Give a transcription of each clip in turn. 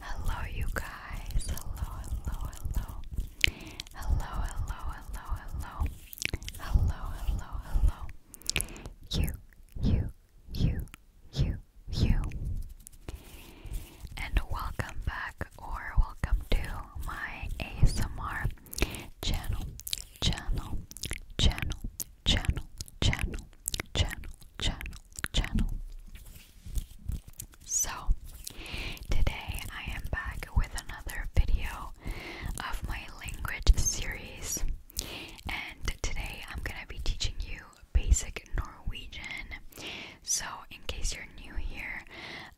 Hello, you guys. Hello, hello, hello. Hello, hello, hello, hello. Hello, hello, hello. You, you, you, you, you. And welcome back or welcome to my ASMR channel, channel, channel, channel, channel, channel, channel, channel. So, today I am back with another video of my language series, and today I'm gonna be teaching you basic Norwegian. So, in case you're new here,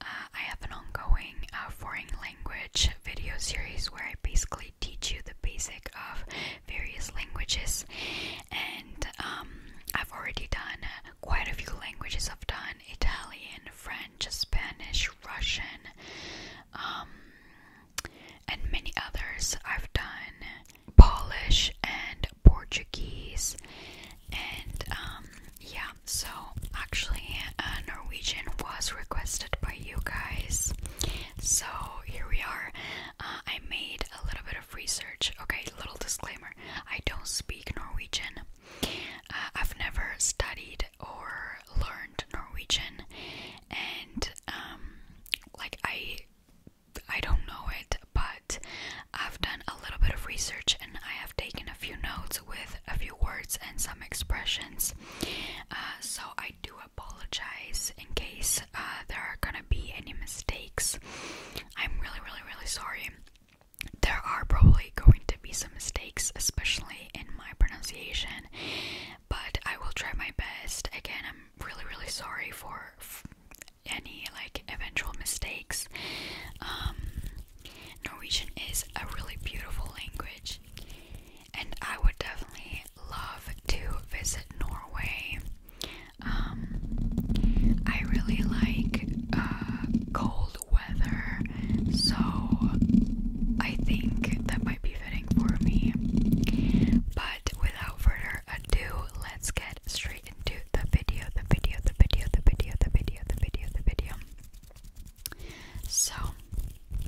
uh, I have an ongoing uh, foreign language video series where I basically teach you the basic of various languages and um, I've already done uh, quite a few languages. I've done Italian, French, Spanish, Russian, um, and many others. I've done Polish and Portuguese, and um, yeah, so actually, uh, Norwegian was requested by you guys, so here we are. Uh, I made a little bit of research. Okay, little disclaimer I don't speak Norwegian. Uh, I've never studied or learned Norwegian, and um, like I, I don't know it, but I've done a little bit of research and I have taken a few notes with a few words and some expressions. Uh, so I I apologize in case uh, there are gonna be any mistakes. I'm really, really, really sorry. There are probably going to be some mistakes, especially in my pronunciation, but I will try my best. Again, I'm really, really sorry for any like eventual mistakes. Um, Norwegian is a really beautiful language and I would definitely love to visit Norway. Um, I really like uh, cold weather, so I think that might be fitting for me. But without further ado, let's get straight into the video, the video, the video, the video, the video, the video, the video. So,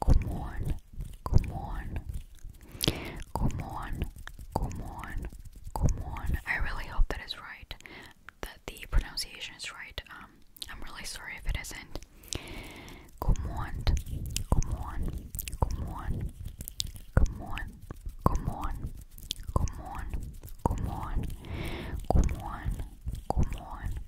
Come on, come on, come on, come on, come on. I really hope that is right, that the pronunciation is right. Um, I'm really sorry if it isn't. Come on, come on, come on, come on, come on, come on, come on, come on, come on.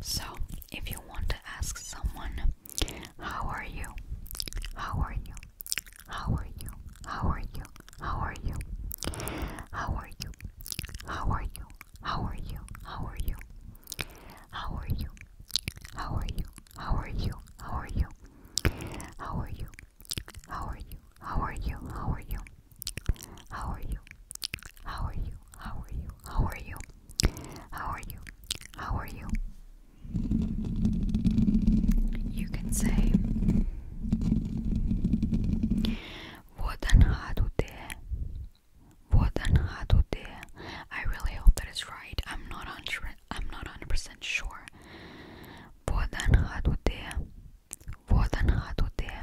So, if you want to ask someone, How are you? How are you? How are you? How are you? How are you? How are you? How are you? How are you? How are you? How are you? How are you? How are you? How are you? How are you? How are you? How are you? How are you? How are you? How are you? How are you? How are you? How are you? How are you? You can say What an hadu there. What an hadu there. I really hope that is right. I'm not hundred I'm not hundred percent sure. What an hadu there. What an hadu there.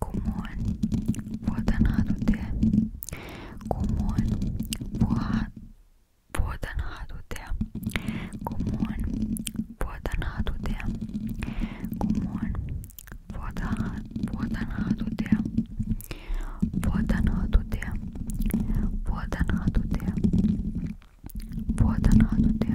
kumoin vuotanhaatute, kumoin vuotanhaatute, kumoin vuotanhaatute, kumoin vuotanhaatute, vuotanhaatute, vuotanhaatute, vuotanhaatute, vuotanhaatute,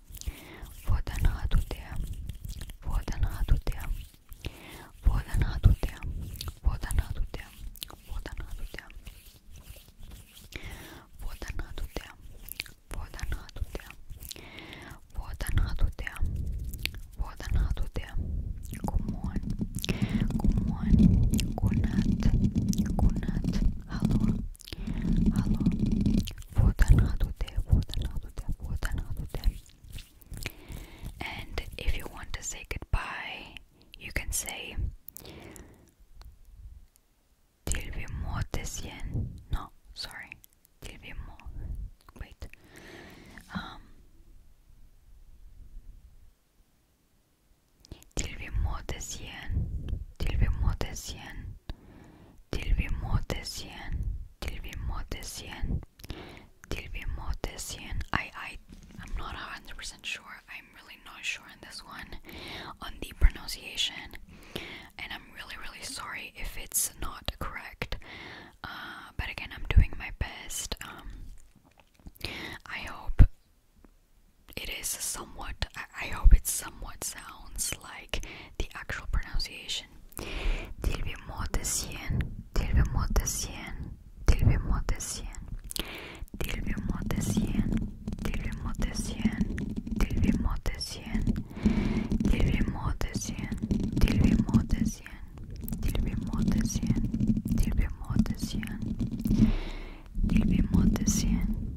Vodan hatutea, vodan hatutea, vodan hatutea, vodan hatutea, vodan hatutea, vodan hatutea, vodan hatutea, vodan hatutea, vodan hatutea, kumon, kumon, kunat, kunat, halua. And if you want to say goodbye, you can say Tilvimo Tesien. No, sorry. Tilvimo. Wait. Um Tilvimo Tesien. Tilvimo Tesien. Till vi mötes I, I, I'm not 100% sure. I'm really not sure on this one, on the pronunciation. And I'm really, really sorry if it's not correct. Uh, but again, I'm doing my best. Um, I hope it is somewhat I, hope it somewhat sounds like the actual pronunciation. Dilbi Motesien, Dilbi Motesien, Dilbi Motesien, Dilbi Motesien, Dilbi Motesien, Dilbi Motesien, Dilbi Motesien, Dilbi Motesien, Dilbi Motesien, Dilbi Motesien, Dilbi Motesien.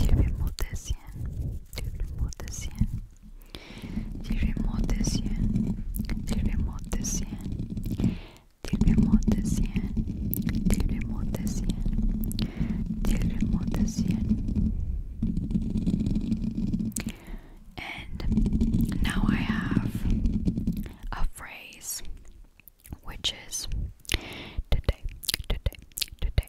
Cevim muhteşem, cevim muhteşem, cevim muhteşem, cevim muhteşem, cevim muhteşem, cevim muhteşem, cevim muhteşem. And now I have a phrase which is today, today, today,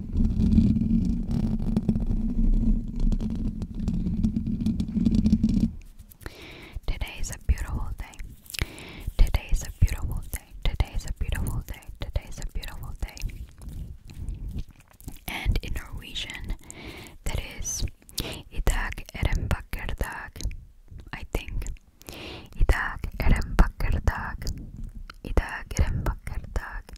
Today is a beautiful day. Today is a beautiful day. Today is a beautiful day. Today is a beautiful day. And in Norwegian, that is Idag er en vacker dag. I think. Idag er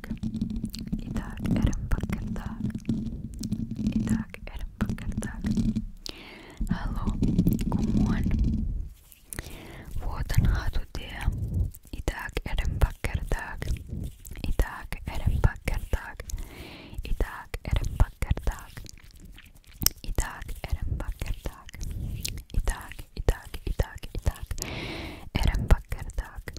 Итак, итак, Эрм Бакардак. Итак, Эрм Бакардак. Hello, good morning. Вот она туда. Итак, Эрм Бакардак. Итак, Эрм Бакардак. Итак, Эрм Бакардак. Итак, Эрм Бакардак. Итак, итак, итак, итак. Эрм Бакардак.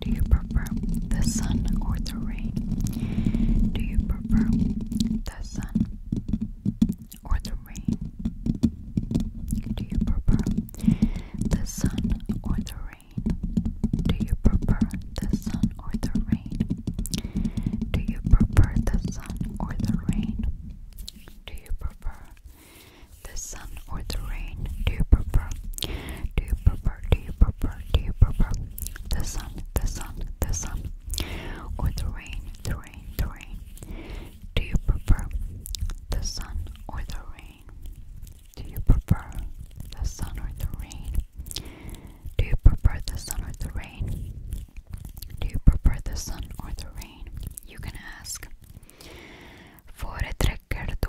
Do you prefer the sun or the rain? Do you prefer the sun or the rain? Do you prefer the sun or the rain? Do you prefer the sun or the rain? Do you prefer the sun or the rain? Do you prefer the sun or the rain? Do you prefer? Do you prefer? Do you prefer? Do you prefer the sun, the sun, the sun, or the rain, the rain, the rain? Do you prefer the sun or the rain? Do you prefer the sun or the rain? Do you prefer the sun or the rain? Do you prefer the sun or the rain? You can ask. Föredräcker du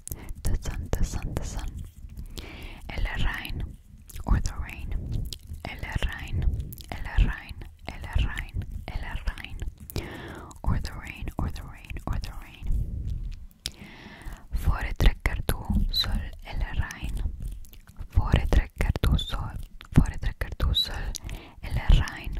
the sun, the sun, the sun. El rain or the rain. El rain, el rain, el rain, el rain. Or the rain, or the rain, or the rain. Fore trekker du sol el rain. Fore trekker du sol. Fore trekker du sol el rain.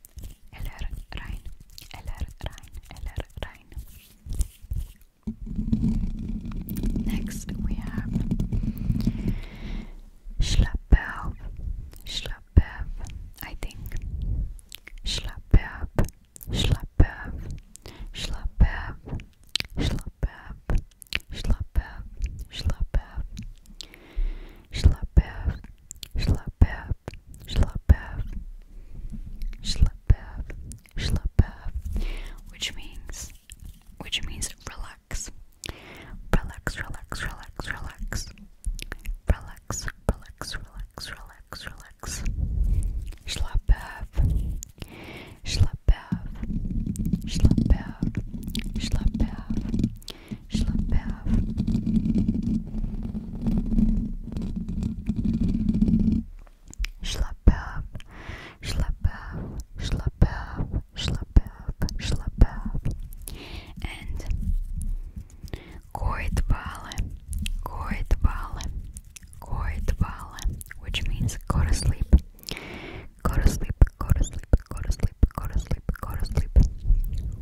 Eller Rhein, Eller Rhein, Eller Rhein. Next we have Schlappe auf, Schlappe auf, I think. Schlappe auf, Schlappe auf, Schlappe auf, Schlappe auf, Schlappe auf, Schlappe auf, Schlappe auf, Schlappe Schlappab, Schlappab, Schlappab, Schlappab, which means, which means relax, relax, relax, relax, relax, relax, relax, relax, relax, relax, Schlappab, Schlappab, Schlappab, Schlappab, Schlappab, have. Schlappab, schlappab, schlappab, schlappab, And koitbale, koitbale, koitbale, which means go to sleep. Go to sleep, go to sleep, go to sleep, go to sleep, go to sleep.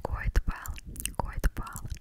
Koitbale, koitbale,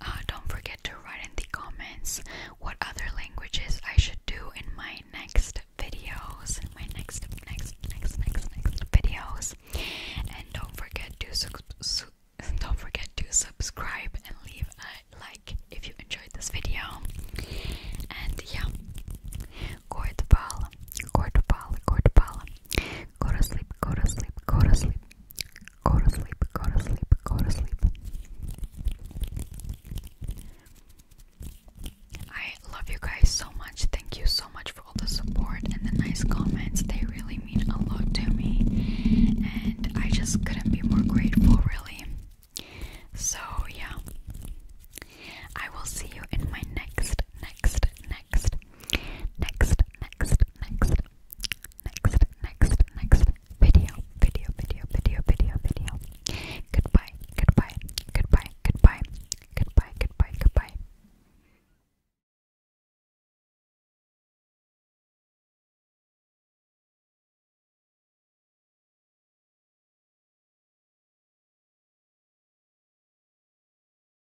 uh, don't forget to write in the comments what other languages I should do in my next videos. my next, next, next, next, next videos. And don't forget to don't forget to subscribe and leave a like if you enjoyed this video. And yeah, Gordball, Gordball, Gordball. Go to sleep, go to sleep, go to sleep. Go to sleep, go to sleep, go to sleep. I love you guys so much. Thank you so much for all the support and the nice comments. They really mean a lot to me. And I just couldn't be more grateful, really. So, yeah. I will see you in my next, next, next next, next, next, next, next, next, video, video, video, video, video, video. Goodbye, goodbye, goodbye, goodbye, goodbye, goodbye, goodbye.